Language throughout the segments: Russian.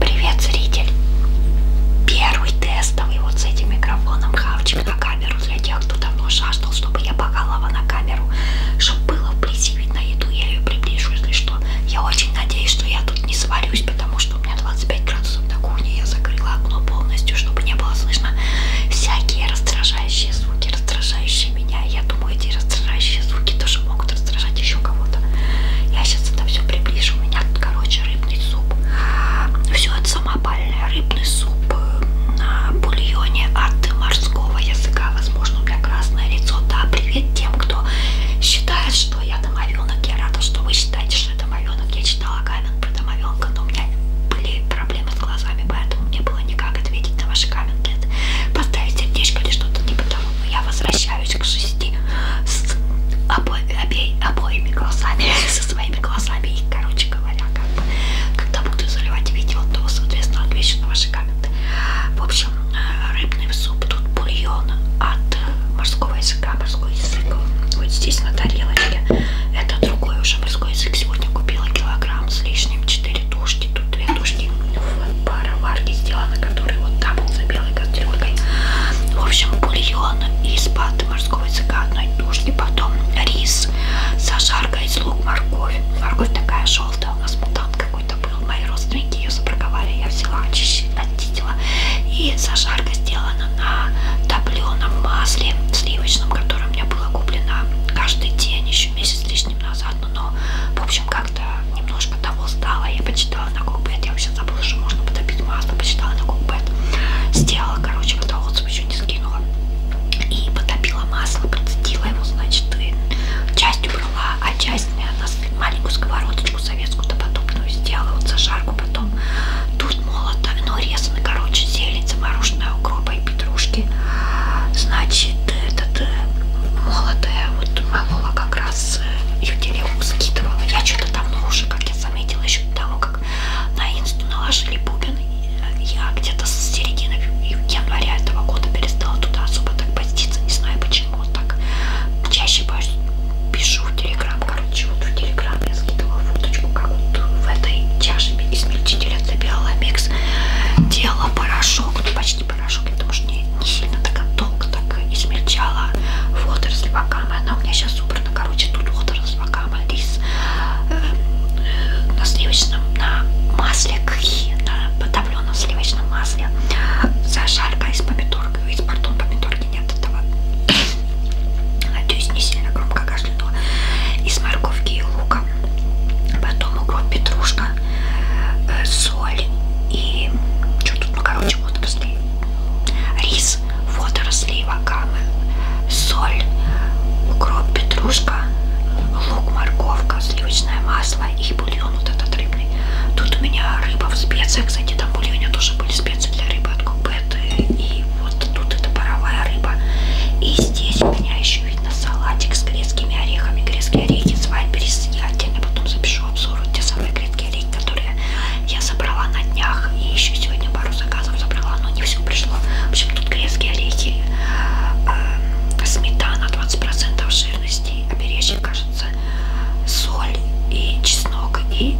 Привет, зритель! Первый тестовый вот с этим микрофоном хавчик на камеру для тех, кто давно жаждал, чтобы я покалала на камеру, чтобы было вблизи видно еду, я ее приближу, если что. Я очень надеюсь, что я тут не сварюсь, потому что у меня 25 градусов на кухне, я закрыла окно полностью, чтобы не было слышно всякие раздражающие звуки, раздражающие меня. Я думаю, эти раздражающие звуки тоже также могут раздражать еще кого-то. Я сейчас это все приближу. У меня тут, короче, рыбный суп. Все это самопальное. Рыбный суп э, на бульоне от морского языка. Возможно, у меня красное лицо. Да, привет тем, кто считает, что я домовенок. Я рада, что вы считаете, что я домовенок. Я читала камень про домовенка, но у меня были проблемы с глазами, поэтому мне было никак ответить на ваши комменты. Поставить сердечко или что-то типа того. Но я возвращаюсь приближаюсь к шести с обо, обе, обоими глазами, со своими глазами. И, короче говоря, как бы, когда буду заливать видео, то, соответственно, отвечу на ваши комменты. В общем, э, рыбный суп, тут бульон от морского языка, морской язык. Вот здесь на тарелочке. Это другой уже морской язык. Сегодня купила килограмм с лишним, 4 тушки, тут 2 тушки пара варки сделана, который вот там был за белой кастрюлькой. В общем, бульон из паты морского языка одной тушки, потом рис, зажарка из лук, морковь. Морковь такая желтая, у нас мутант какой-то был. Мои родственники ее забраковали, я взяла, очистила. И зажарка сделана на топленом масле сливочном, которое у меня было куплено каждый день еще месяц лишним назад. Но, в общем, как как-то немножко того стало. Я почитала на Кукбет, я вообще забыла, что можно потопить масло, почитала на Кукбет. Сделала, короче, когда отзыв еще не скинула. И потопила масло, процедила его, значит, и часть убрала, а часть на маленькую сковородочку советскую-то подобную сделала, вот зажарку потом. Тут молото, но резаны, короче, зелень замороженная, укропа и петрушки. Значит, этот э, молотая, вот молола как раз раз Ютериум скидывала. Я что-то давно ну, уже, как я заметила, еще до того, как на инсту наложили бубен, э, я где-то с середины января этого года перестала туда особо так поститься. Не знаю почему. Так чаще пишу в Телеграм. Короче, вот в Телеграм я скидывала фоточку, как вот в этой чаше измельчителя забирала микс. Делала порошок. Ну, почти косметический типа, порошок, потому что не, не сильно так долго так измельчала водоросль вакама. Она у меня сейчас убрана. Короче, тут водоросль вакама, рис э, э, на сливочном, на масле кхи, на подавленном сливочном масле, зажарка из помидорки, из, пардон, помидорки нет этого. Надеюсь, не сильно громко кашлянула. Из морковки и лука. Потом укроп, петрушка, э, соль и что тут, ну, почему-то после рис, водоросли, вакамы, соль, укроп, петрушка, лук, морковка, сливочное масло и бульон вот этот рыбный. Тут у меня рыба в специях, кстати, там в бульоне тоже были специи для рыбы от Кукбет. И вот тут это паровая рыба. И здесь у меня еще видно салатик с грецкими орехами. Грецкие орехи с вайберис. Я отдельно потом запишу обзор, вот те самые грецкие гелей, которые я собрала на днях. И еще сегодня пару заказов забрала, но не все пришло. В общем, тут грецкие орехи, э, сметана 20% жирности, обережье, кажется, соль и чеснок, и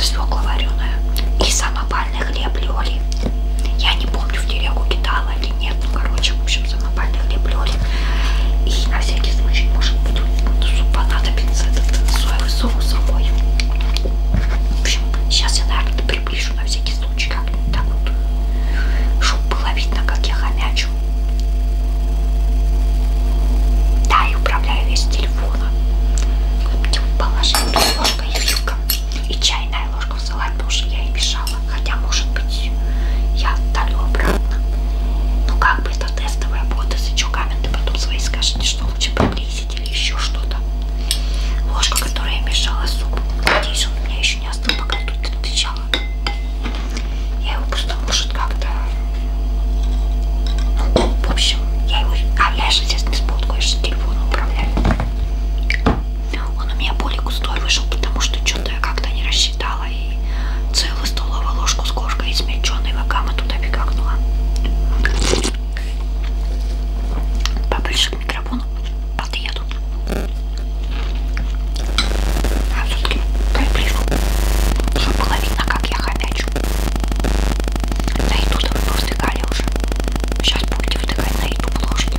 свекла вареная. И самопальный хлеб Лёли. Я не помню, в дереву кидала или нет, ну короче, в общем, самопальный хлеб Лёли. И на всякий случай, может быть, понадобится этот соевый соус собой. В общем, сейчас я, наверное, приближу на всякий случай как-нибудь так вот, чтобы было видно, как я хомячу. Да, и управляю весь телефоном. Положила ложка и вилка. И чайная ложка в салат, потому что я и мешала. Хотя, может быть, я отдалю обратно. Ну, как бы автотестовые боты с каменты потом свои скажете, что лучше приблизить или еще что-то. Ложка, которая мешала супу. Надеюсь, он у меня еще не остыл, пока я тут отвечала. Я его просто может как-то... Ну, в общем, я его... А я же сейчас без полку, я же телефоном управляю. Он у меня более густой вышел, потому что что-то я как-то не рассчитала взяла и целую столовую ложку с горкой измельченной вакамы туда пикакнула. Поближе к микрофону подъеду. А все-таки приближу, чтобы было видно, как я хомячу. На YouTube вы повздыхали уже. Сейчас будете вздыхать на YouTube ложки.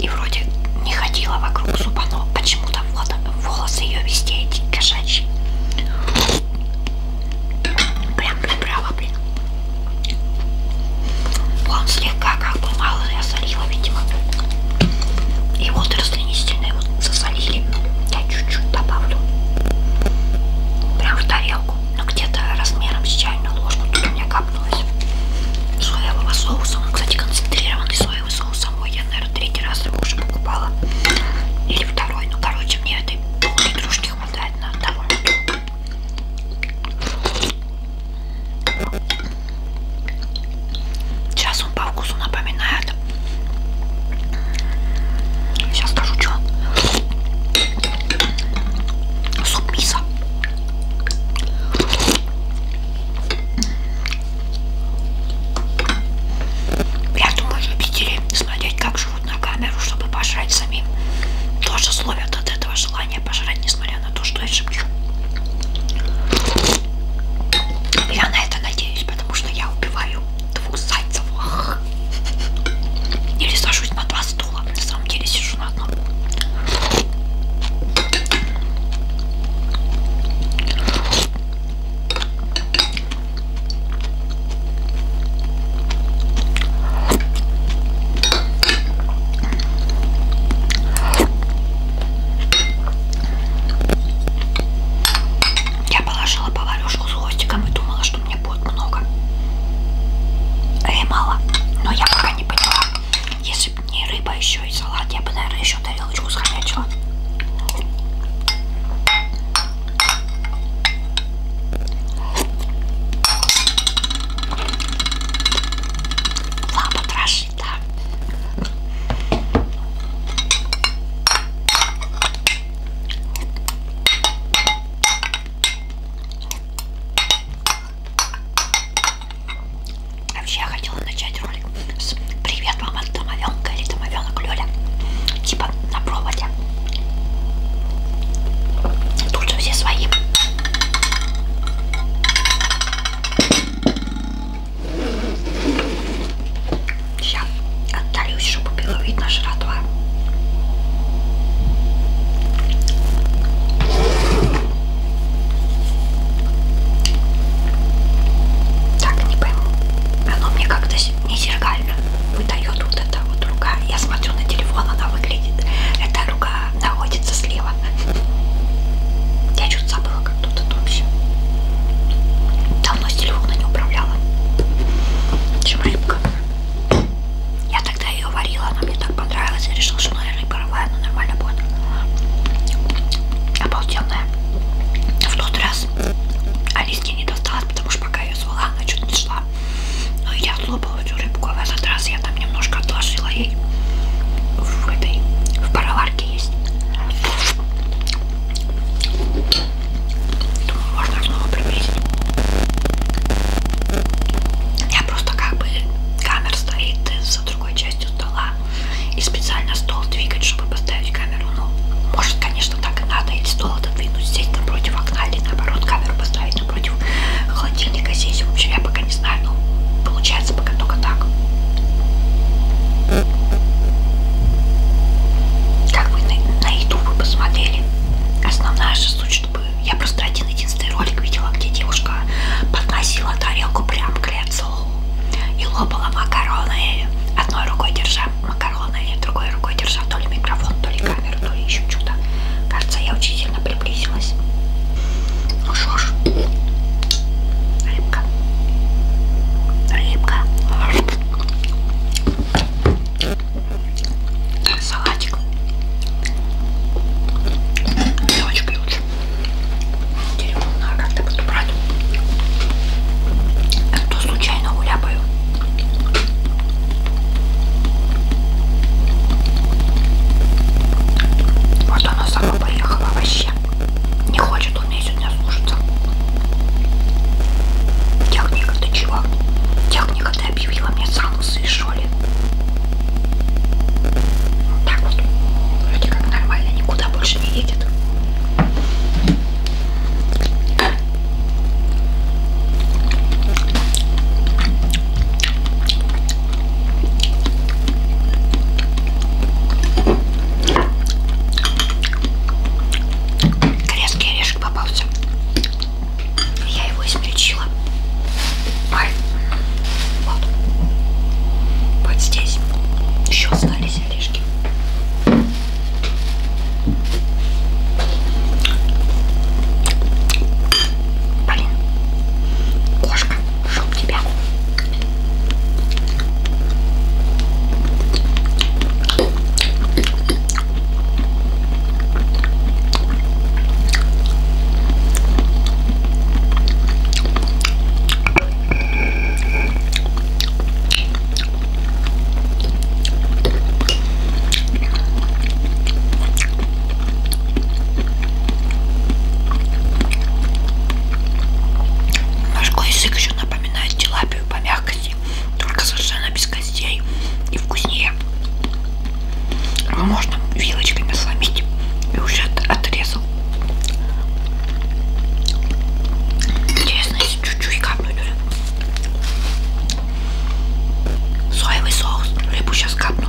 И вроде не ходила вокруг зуба, но почему-то волосы ее везде эти кошачьи. Прям прибрала, блин. Он слегка как бы мало я солила, видимо. И водоросли нестильные вот засолили. Я чуть-чуть добавлю. Прям в тарелку. Но ну, где-то размером с чайную ложку. Тут у меня капнулось соевого соуса. Он, кстати, концентрированный соевый моего соуса мой. Я, наверное, третий раз его уже покупала. Или второй. Ну, короче, мне этой пол-литрушки хватает на того. Сейчас он по вкусу напоминает. Сейчас скажу, что суп мисо. Я думаю, любители смотреть, как живут на камеру, чтобы пожрать самим, тоже словят от этого желания пожрать, несмотря на то, что я шепчу. Я на это надеюсь, потому что я убиваю двух зайцев. Или сажусь на два стула. На самом деле сижу на одном. Я положила поварюшку с хвостиком и думала, что мне будет много. Или мало. Но я пока не поняла. Если если бы не рыба еще и салат, я бы, наверное, еще тарелочку схомячила. Лапа трошит, да. Вообще я хотела начать ролик с «Привет, мама, домовенка» или «Домовенок Лёля». Типа на проводе. Тут же все свои. Сейчас отдалюсь, чтобы было видно жратва. Так, не пойму. Оно мне как-то не зеркально выдает вот эта вот рука. Я смотрю на телефон, она выглядит. Эта рука находится слева. Я чуть забыла, как тут это вообще. Давно с телефона не управляла. Чем рыбка. Я тогда ее варила, она мне так понравилась. Я решила, что, наверное, не паровая, но нормально будет. Обалденная. В тот раз Алиске не досталось, потому что пока я ее звала, она что-то не шла. Но ну, я слопала эту рыбку, а в этот раз я там немножко отложила ей в этой, в пароварке есть. Думаю, можно снова приблизить. Я просто как бы камер стоит из другой частью стола и специально стол двигать, чтобы поставить камеру. Ну, может, конечно, так и надо, или стол отодвинуть, сесть напротив окна, или наоборот, камеру поставить напротив холодильника сесть. В общем, я пока не знаю, но получается пока только так. Как вы на, на еду вы посмотрели? Основная же суть, чтобы я просто один единственный ролик видела, где девушка подносила тарелку прям к лицу стол и лопала макароны, одной рукой держа макароны, другой рукой держа то ли микрофон, то ли камеру, то ли еще что-то. Кажется, я очень сильно приблизилась. Ну что ж, рыбка, рыбка. Салатик. Девочки, короче. Дерьмо надо как-то буду брать. А то случайно уляпаю. Вот она сама поехала вообще. Не хочет он меня сегодня слушаться. Техника, ты чего? Техника, ты объявила мне санкции, что ли? Так вот, вроде как нормально, никуда больше не едет. Корейский орешек попался. Я его измельчила. Ой. Вот. вот здесь еще остались орешки. Блин, кошка, чтоб тебя. Морской язык еще напоминает тилапию по мягкости, только совершенно без костей и вкуснее. Его а можно вилочками сломить и уже отрезал. Интересно, если чуть-чуть капнуть рыбу. Соевый соус. Рыбу сейчас капну.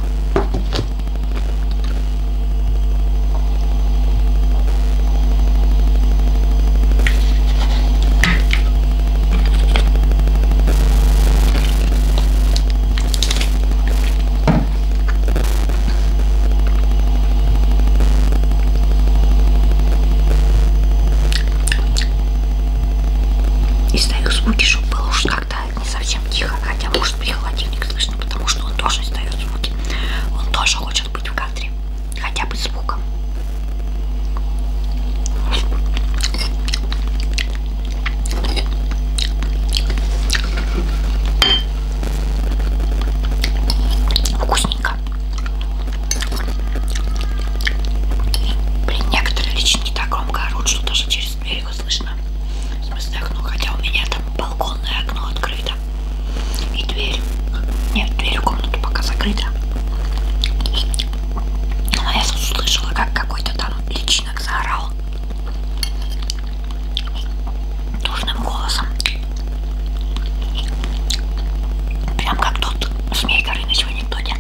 Из даю звуки, чтобы было уж как-то не совсем тихо, хотя может быть холодильник слышно, потому что он тоже издает звуки. Он тоже хочет быть в кадре, хотя бы звуком. Вкусненько. Блин, некоторые лично не так громко орут, что даже через дверь его слышно. В смысле окно, хотя у меня там балконное окно открыто. И дверь. Нет, дверь в комнату пока закрыта. Но я слышала, как какой-то там личинок заорал душным голосом. Прям как тот змей на сегодня анекдоте.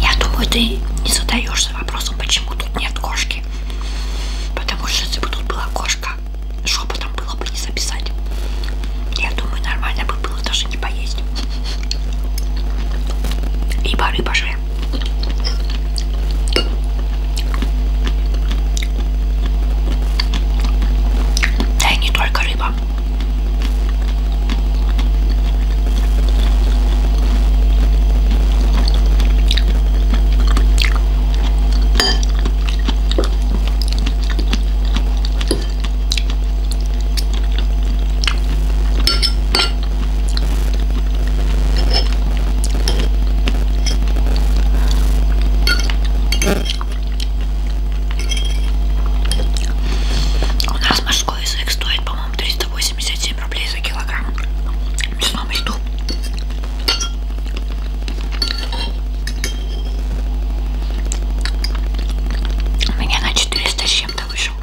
Я думаю, ты не задаешься вопросом, почему тут нет кошки. Потому что если бы тут была кошка, шепотом было бы не записать. Я думаю, нормально бы было даже шашки поесть. И бары пошли. Да и не только рыба. У нас морской язык стоит, по-моему, 387 рублей за килограмм в мясном ряду. У меня на 400 с чем-то вышел.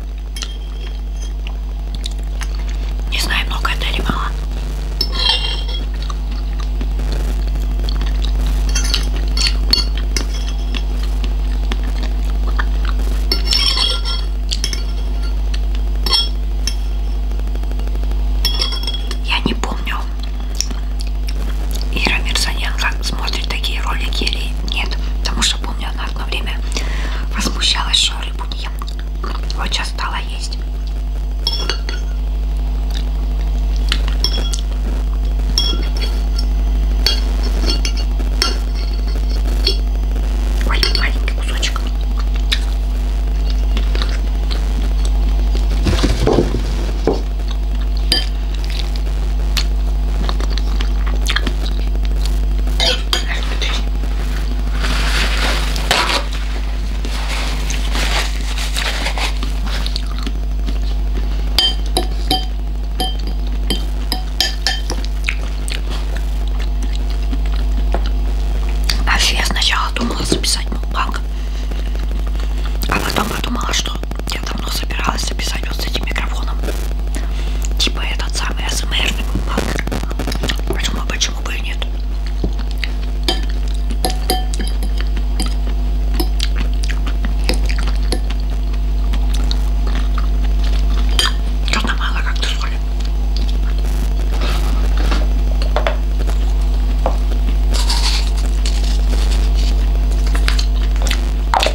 Не знаю, много это или мало. Я не помню, Ира Мирзаненко смотрит такие ролики или нет, потому что помню, она она одно время возмущалась, что рыбу не ем. Вот сейчас стала есть. Ой, маленький кусочек. А Вообще я сначала думала записать мукбанг, а потом подумала, что я давно собиралась записать вот с этим микрофоном. Типа этот самый АСМР. Почему, почему бы и нет? Что-то мало как-то соли.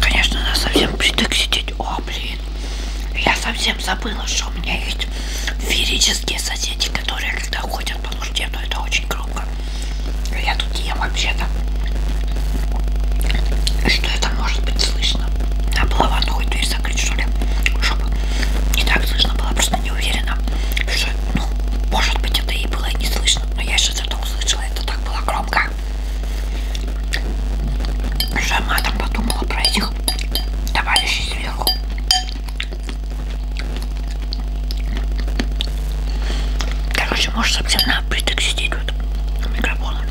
Конечно, надо совсем притык сидеть. О, блин. Я совсем забыла, что у меня есть ферические соседи, которые когда ходят по нужде, но это очень громко. Я тут ем вообще-то. Что это может быть слышно? А было ванну хоть дверь закрыть, что ли? Чтобы не так слышно было просто слышно, не уверена. Что, ну, может быть, это и было не слышно, но я сейчас это услышала, это так было громко. Сама там подумала про этих товарищей сверху. Короче, может совсем на притык сидеть вот микрофоном.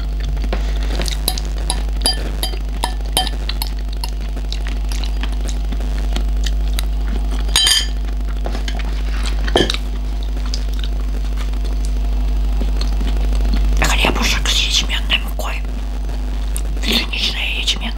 Хлебушек с ячменной мукой. Пшеничная ячменная.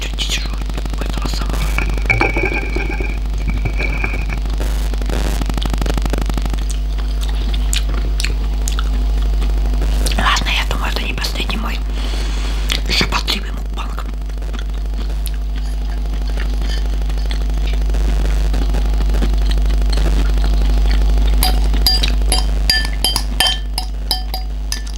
жить уйти у этого самого. Ладно, я думаю, это не последний мой еще подливый мукбанг.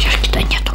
Чашки-то нету.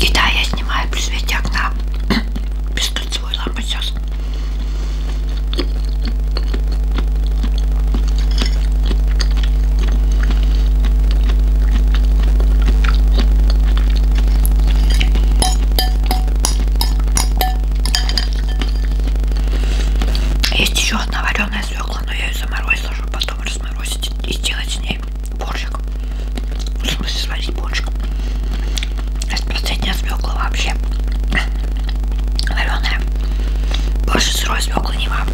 И да, я снимаю при свете окна без кольцевой лампы сейчас. Есть еще одна вареная свекла, но я ее заморозила, чтобы потом разморозить и сделать с ней борщик. В смысле сварить борщик. Это последняя свекла вообще. Вареная. Больше сырой свеклы не вам.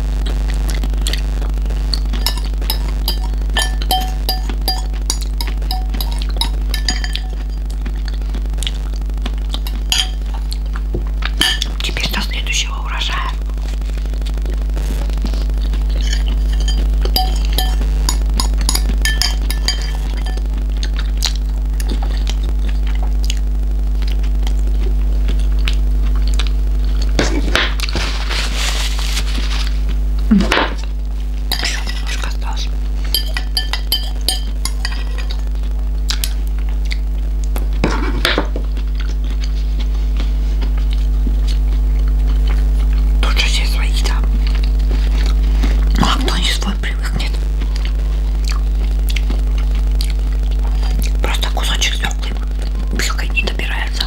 Теперь на следующий будущего урожая. Еще немножко осталось. Тоже все свои, да. Ну а кто не свой привыкнет. Просто кусочек свеклы пилкой не добирается.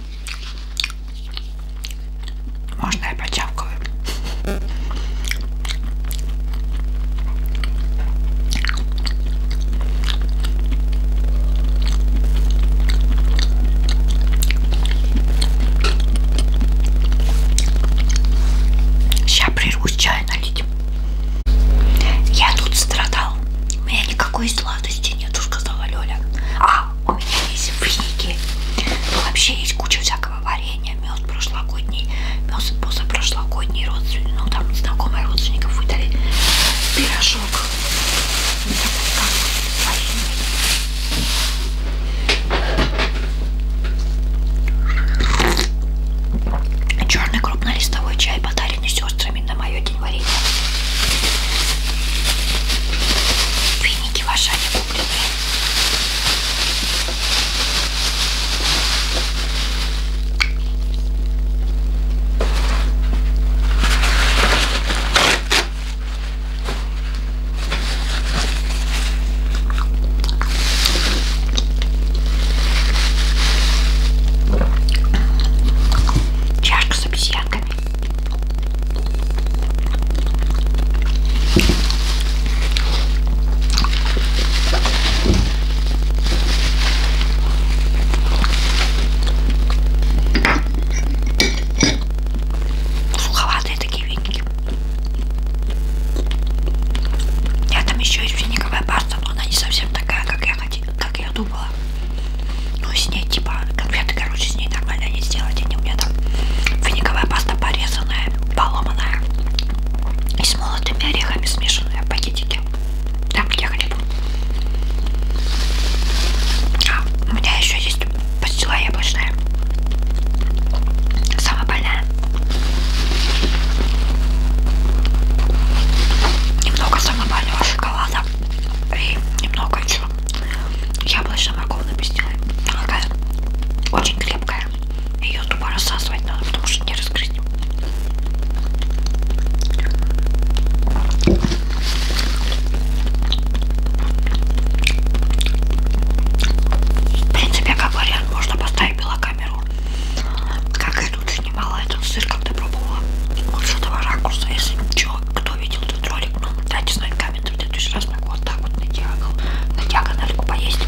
Можно я почавкаю? Сейчас прервусь чай налить. Я тут страдал. У меня никакой зла сладостей нету, сказала Лёля. А, у меня есть финики. Ну, вообще есть куча всякого варенья, мед прошлогодний, мед позапрошлогодний, родственник, ну там знакомые родственников выдали пирожок. Ну, такой, как Черный крупнолистовой чай подаренный сестрами на мое такие варенья. Веники в Ашане куплены. Чашка с обезьянкой. Суховатые такие веники. Я там еще есть финиковая паста, но она не совсем такая, как я, как как я думала. Ну, с ней, типа, конфеты, короче, с ней нормально не сделать. Они у меня там финиковая паста порезанная, поломанная. И с молотыми орехами смешанная в пакетике. Там, где хлеб. А, у меня еще есть пастила яблочная. Самая больная. Немного самобального шоколада и немного еще яблочно-морковной пастилы. Она такая очень крепкая. Ее тупо рассасывать надо, потому что не разгрызть. В принципе, как вариант, можно поставить белокамеру, как идут снимала этот сыр, когда пробовала. Вот с этого ракурса, если что, кто видел этот ролик, ну, дайте знать комменты, в следующий раз могу вот так вот на диагонал, на диагональку поесть.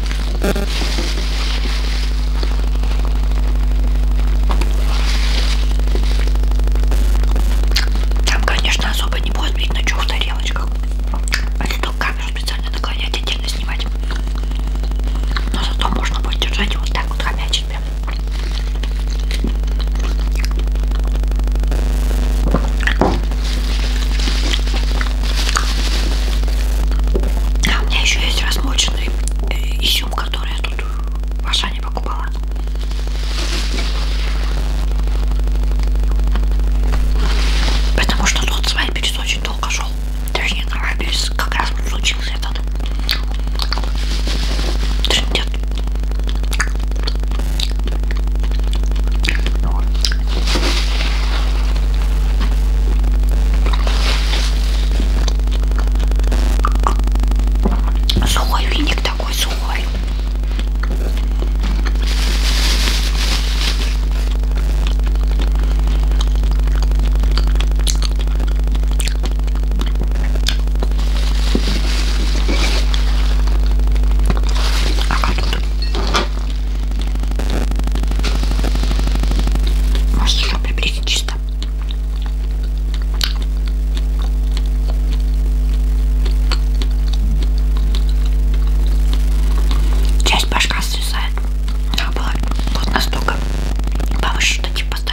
Там, конечно, особо не будет видно, что в тарелочках. Или а только камеру специально наклонять, отдельно снимать. Но зато можно будет держать и вот так вот хомячить себе. А у меня еще есть размоченный э, изюм, который я тут в Ашане покупала. Потому что тот свайперис очень долго шел. Точнее, на как раз вот случилось. Шепот. Трындет. Сухой веник такой сухой. А как тут? Может еще приберите чисто? Часть башка свисает. Надо было вот настолько повыше, что типа ставить.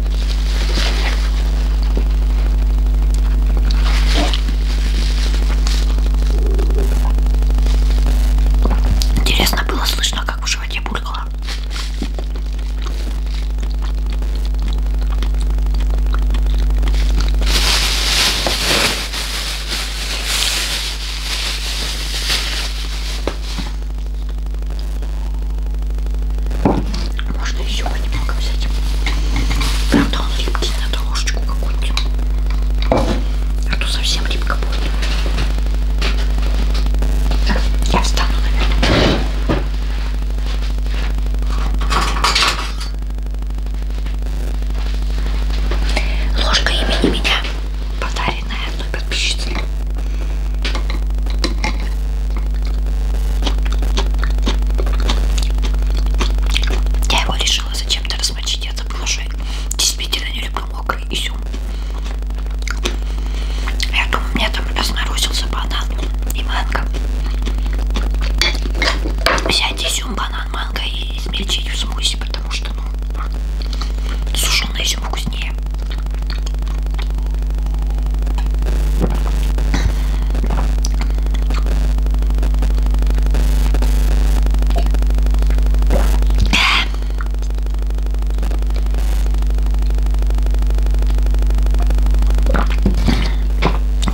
Интересно было слышно, как в животе булькало. А можно еще немного взять. Правда, он липкий, надо ложечку какую-нибудь. А то совсем липко будет. Так, я встану, наверное. Ложка имени меня подарит тайная одной подписчицы. Я его решила зачем-то размочить, я забыла, что я действительно не люблю мокрый изюм. Я думаю, у меня там разнарусился банан и манго. Взять изюм, банан, манго и измельчить в смузи, потому что, ну, сушеный она еще вкуснее.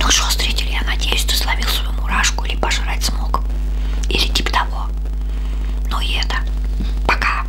Ну что, зрители, я надеюсь, ты словил свою мурашку или пожрать смог. Или типа того. Ну и это. Пока.